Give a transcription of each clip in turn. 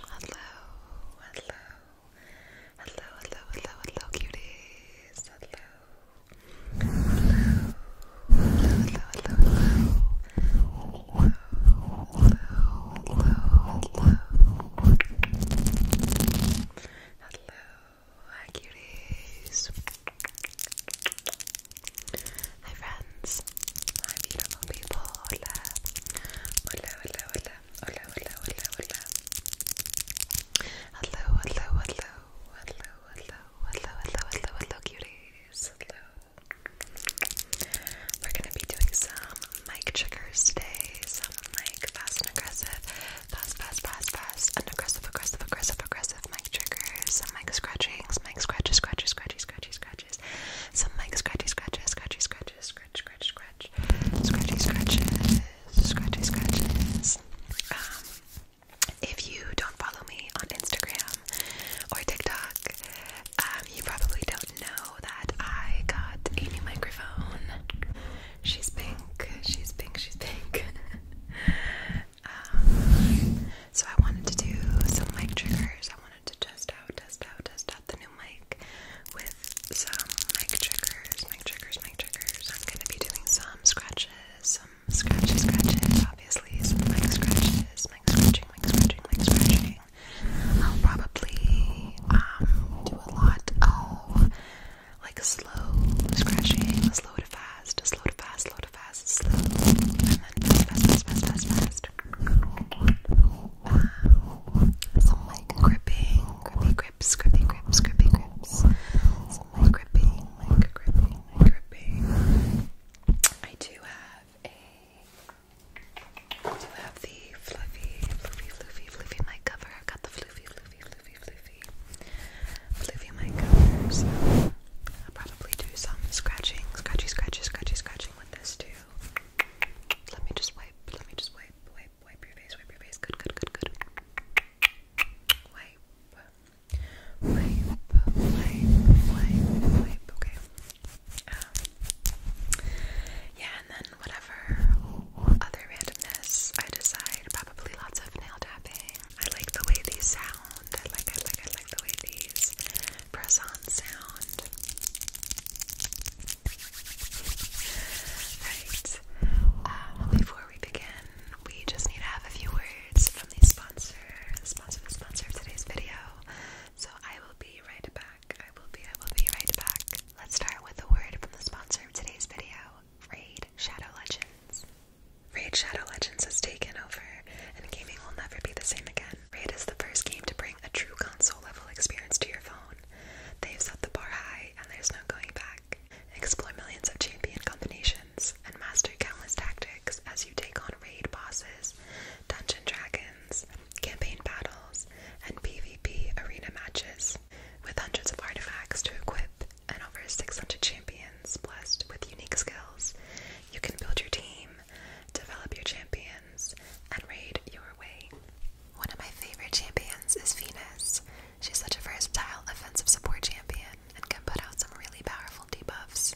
Hello, hello, hello, hello, hello, hello, cuties. Hello, hello, hello, hello, hello, hello, hello, hello, hi, cuties. Hi friends, hi beautiful people, hola, hola, hola, hola, hola, hola, hola, hola. Hello, hello, hello, hello, hello, hello, hello, hello, hello, cuties, hello. We're gonna be doing some mic triggers today, some like fast and aggressive, fast, fast, fast, fast, and aggressive, aggressive, aggressive, aggressive mic triggers, some mic scratchings, mic scratches, scratches, scratchy, scratchy, scratchy scratches. Some like scratchy scratches, scratchy scratches, scratch, scratch, scratch, scratchy scratches, scratchy scratches. Um, if you don't follow me on Instagram or TikTok, um, you probably don't know that I got a new microphone. She's pink, she's pink, she's pink. Um, so I wanted to do some mic triggers. I wanted to test out, test out, test out the new mic with some mic triggers, mic triggers, mic triggers. I'm gonna be doing some scratches, some scratches, scratches, obviously, some mic scratches, mic scratching, mic scratching, mic scratching. I'll probably um, do a lot of like slow scratching, slow to fast, slow to fast, slow fast, slow, and then fast, fast, fast, fast, fast, fast. Some like gripping, grips, grippy grips, grippy grips. Some like gripping, like gripping, like gripping. I do have a, I do have the fluffy, fluffy, fluffy, fluffy mic cover. i got the fluffy, fluffy, fluffy, fluffy, fluffy mic cover. I'll probably do some scratching, scratchy, scratchy, scratchy, scratching with this too. Let me just wipe, let me just wipe, wipe, wipe your face, wipe your face. Good, good, good, good. Wipe, wipe, wipe, wipe, wipe. Okay. yeah, and then whatever other randomness I decide, probably lots of nail tapping. I like the way these sound. I like, I like, I like the way these press on sound. right. Um, before we begin, we just need to have a few words from the sponsor, sponsor, sponsor of today's video. So I will be right back. I will be, I will be right back. Let's start with a word from the sponsor of today's video, Raid Shadow Legends. Raid Shadow Legends has taken over, and gaming will never be the same again. Raid is the first game to bring a true console level experience to your phone. They've set the bar high, and there's no going back. Explore millions of champion combinations and master countless tactics as you take on raid bosses, dungeon dragons, campaign battles, and PvP arena matches. With hundreds of artifacts to equip and over 600 champions blessed with unique skills, you can build your team develop your champions, and raid your way. One of my favorite champions is Venus. She's such a versatile offensive support champion and can put out some really powerful debuffs.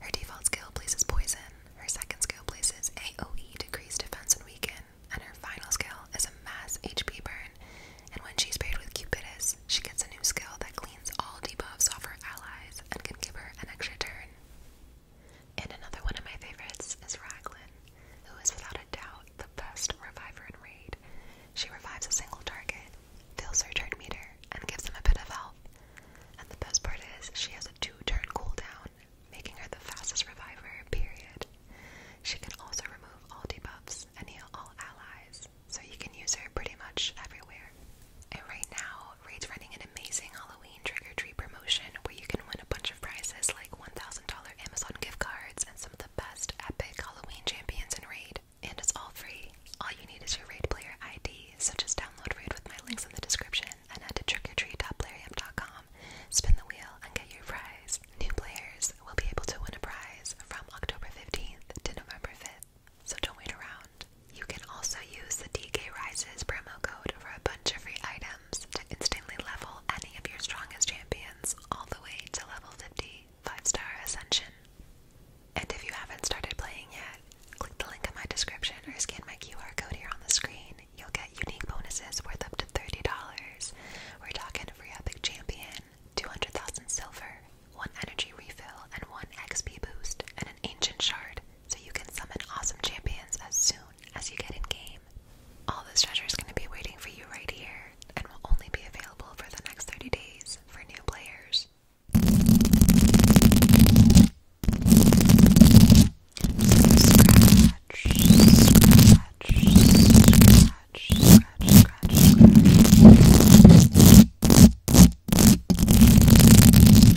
Her default skill places poison, her second skill places AoE decrease defense and weaken, and her final skill is a mass HP burn. And when she's paired with Cupidus, she gets a new skill that cleans all debuffs off her allies and can give her an extra turn. And another one of my favorites is Raglan, who is without a doubt the best reviver in raid. She revives a single target, fills her turn meter, and gives them a bit of health. And the best part is she has a two-turn cooldown, making her the fastest reviver, period. She can also remove all debuffs and heal all allies, so you can use her pretty much everywhere. And right now Raid's running an amazing Halloween trick or treat promotion where you can win a bunch of prizes like $1,000 Amazon gift cards and some of the best epic Halloween champions in Raid. And it's all free. All you need is your Raid player ID, so just download Raid with my links in the description and head to trickortreat.playerm.com. Spin the wheel and get your prize. New players will be able to win a prize from October 15th to November 5th so don't wait around. You can also use the DK Rises promo code for a bunch of free items to instantly level any of your strongest champions all the way to level 50 5 star ascension. And if you haven't started playing yet, click the link in my description or scan my QR code here on the screen. You'll get unique bonuses worth up to $30. We're talking free epic champion, 200,000 silver, one energy refill, and one XP boost, and an ancient shard, so you can summon awesome champions as soon as you get in game. All this treasure is going to be waiting for you right here, and will only be available for the next 30 days for new players. Scratch, scratch, scratch, scratch, scratch, scratch.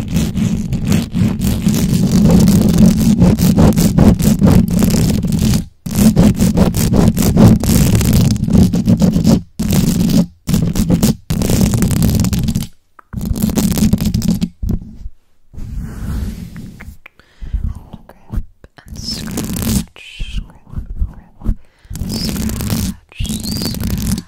Grip and scratch, grip, grip, scratch, scratch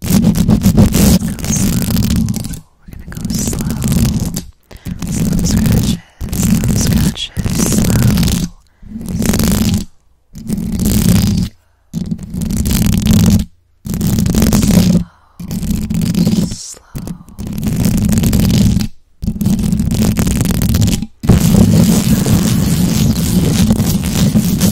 go slow. We're gonna go slow. Slow scratches, slow scratches, slow. Slow, slow. Good.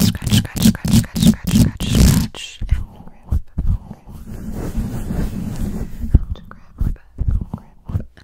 Scratch, scratch, scratch, scratch, scratch, scratch, scratch. And grab, grab, grab, grab, grab, grab, grab, grab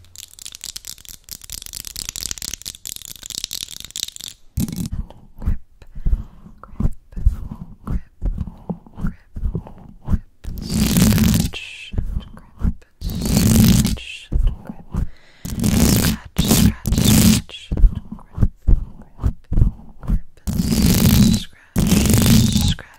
grip, grip, grip, grip, grip, scratch, and grip, scratch, and grip, scratch, scratch, scratch, and grip, grip, grip, scratch, scratch.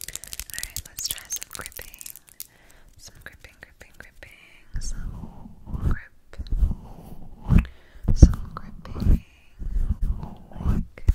Alright, let's try some gripping. Some gripping, gripping, gripping, some gripping grip. Some gripping. Like gripping.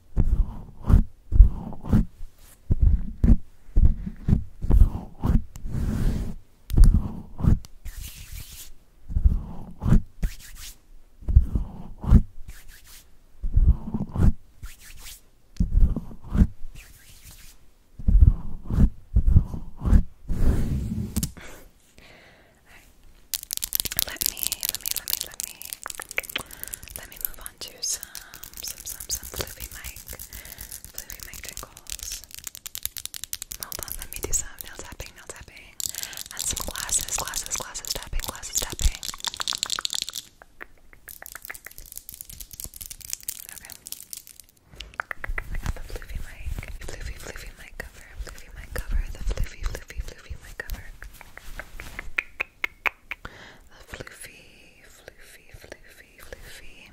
All right. Let me, let me, let me, let me, let me move on some, some, some, some Fluffy Mike, Fluffy Mike trinkles. Hold on, let me do some nail tapping, nail tapping, and some glasses, glasses, glasses tapping, glasses tapping. Okay. I got the Floofy mic. Floofy, floofy mic cover. Floofy mic cover. The floofy, floofy, floofy mic cover the floofy, floofy, floofy, floofy.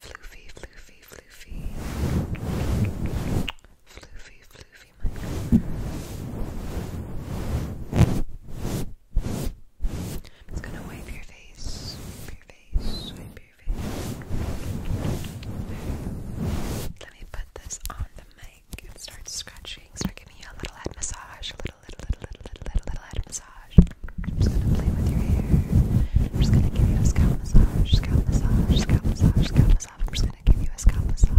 Floofy, floofy, floofy. Floofy, floofy, few I'm gonna wipe your face, wipe your face, wipe your face. Let me put this on the mic start scratching. Start giving you a little head massage, a little, little, little, little, little, little head massage. I'm just gonna play with your hair. I'm just gonna give you a scalp massage, scalp massage, scalp massage, scalp massage. I'm just gonna give you a scalp massage.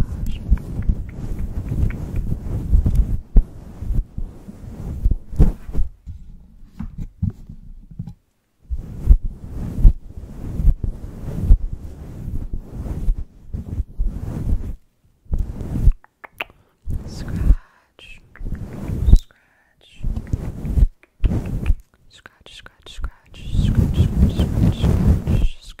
scratch, scratch, scratch, scratch, scratch, scratch, scratch, scratch,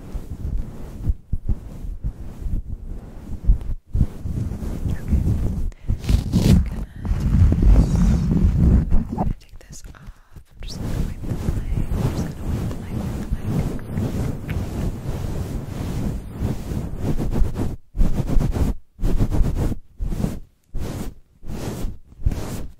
I'm gonna take this off. I'm just gonna wipe the mic. I'm just gonna wipe the mic, wipe the mic. Fluffy, fluffy, fluffy, fluffy, fluffy, fluffy, fluffy, fluffy,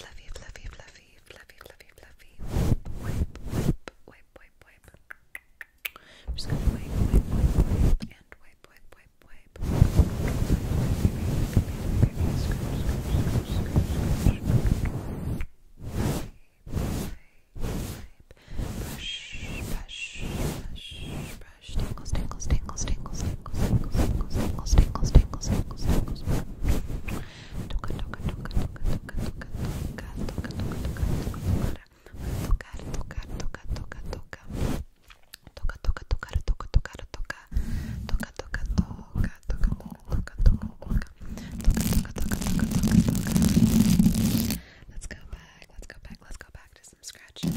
fluffy, fluffy, fluffy, fluffy, wipe, wipe, wipe, wipe, wipe. I'm just gonna wipe, wipe, wipe, wipe, and wipe, wipe, wipe, wipe. Brush, brush, brush, brush. Tingles, tingles, tingles, tingles, tingles, tingles, tingles, tingles, tingles, tingles, tingles. Toca, toca, toca, toca, toca, toca, toca, toca, toca, toca, toca, toca tocar, tocar, Let's go back. Let's go back. Let's go back to some scratches.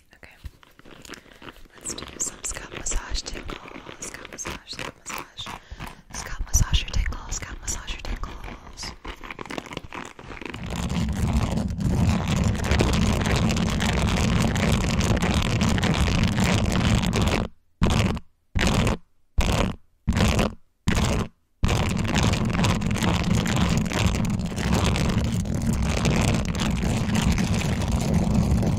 Okay. Let's do some scalp massage tingle. Scalp massage, scalp massage. Scalp massage your tingles, scalp massage your tingles. Scalp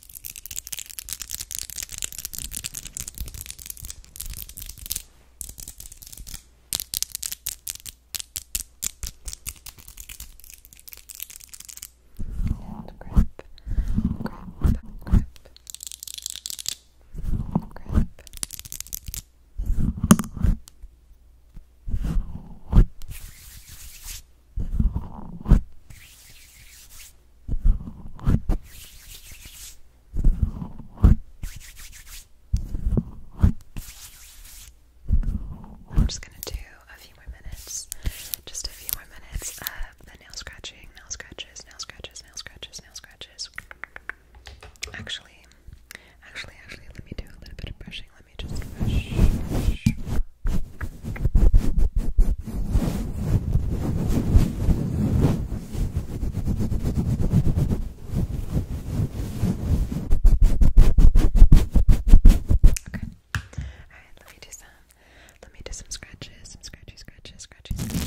And grip, grip, grip, grip. Grip, I'm just gonna do a few more minutes, just a few more minutes of the nail scratching, nail scratches, nail scratches, nail scratches, nail scratches. Actually, actually, actually, let me do a little bit of brushing. Let me just brush, brush, let me do some. Let me do some scratches, some scratchy, scratches, scratchy, scratches.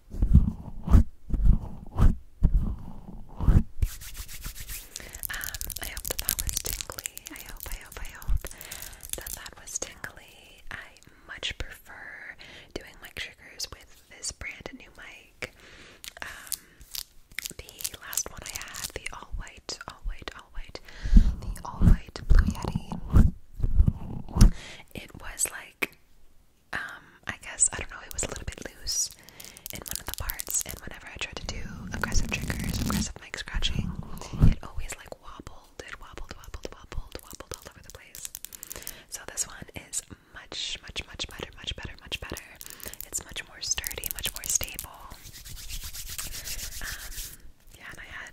Um, I hope that that was tingly. I hope, I hope, I hope that that was tingly. I much prefer doing mic triggers with this brand new mic. Um, the last one I had, the all white, all white, all white, the all white Blue Yeti. It was like um, I guess, I don't know, it was a little bit loose in one of the parts, and whenever I tried to do aggressive triggers, aggressive mic scratching, it always like wobbled, it wobbled, wobbled, wobbled, wobbled all over the place. So this one is much, much, much better, much better, much better. It's much more sturdy, much more stable. Um, yeah, and I had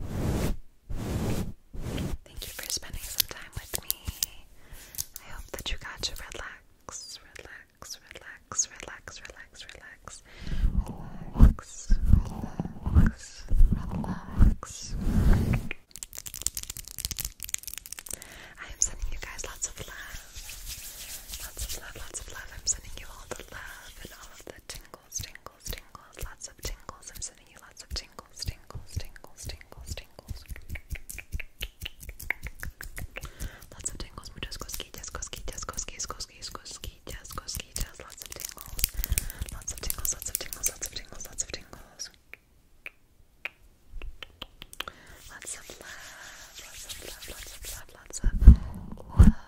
Thank you for spending some time with me. I hope that you got to relax, relax, relax, relax, relax, relax, relax, relax, relax. I am sending you guys lots of love. Lots of love, lots of love. I'm sending you all the love and all of the tingles tingles, tingles, tingles, lots of tingles. I'm sending you lots of tingles, tingles, tingles, tingles, tingles. Lots of tingles, muchas cosquillas, cosquillas, cosquillas, cosquillas, cosquillas, cosquillas, lots of tingles. Lots of tingles, lots of tingles, lots of tingles, lots of tingles. Lots of love, lots of love, lots of love, lots of love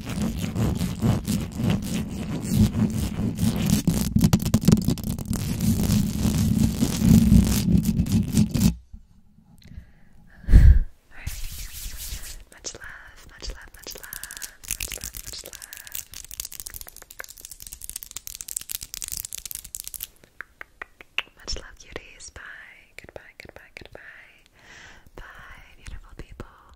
much love, much love, much love, much love, much love. Much love, cuties. Bye. Goodbye, goodbye, goodbye. Bye, beautiful people.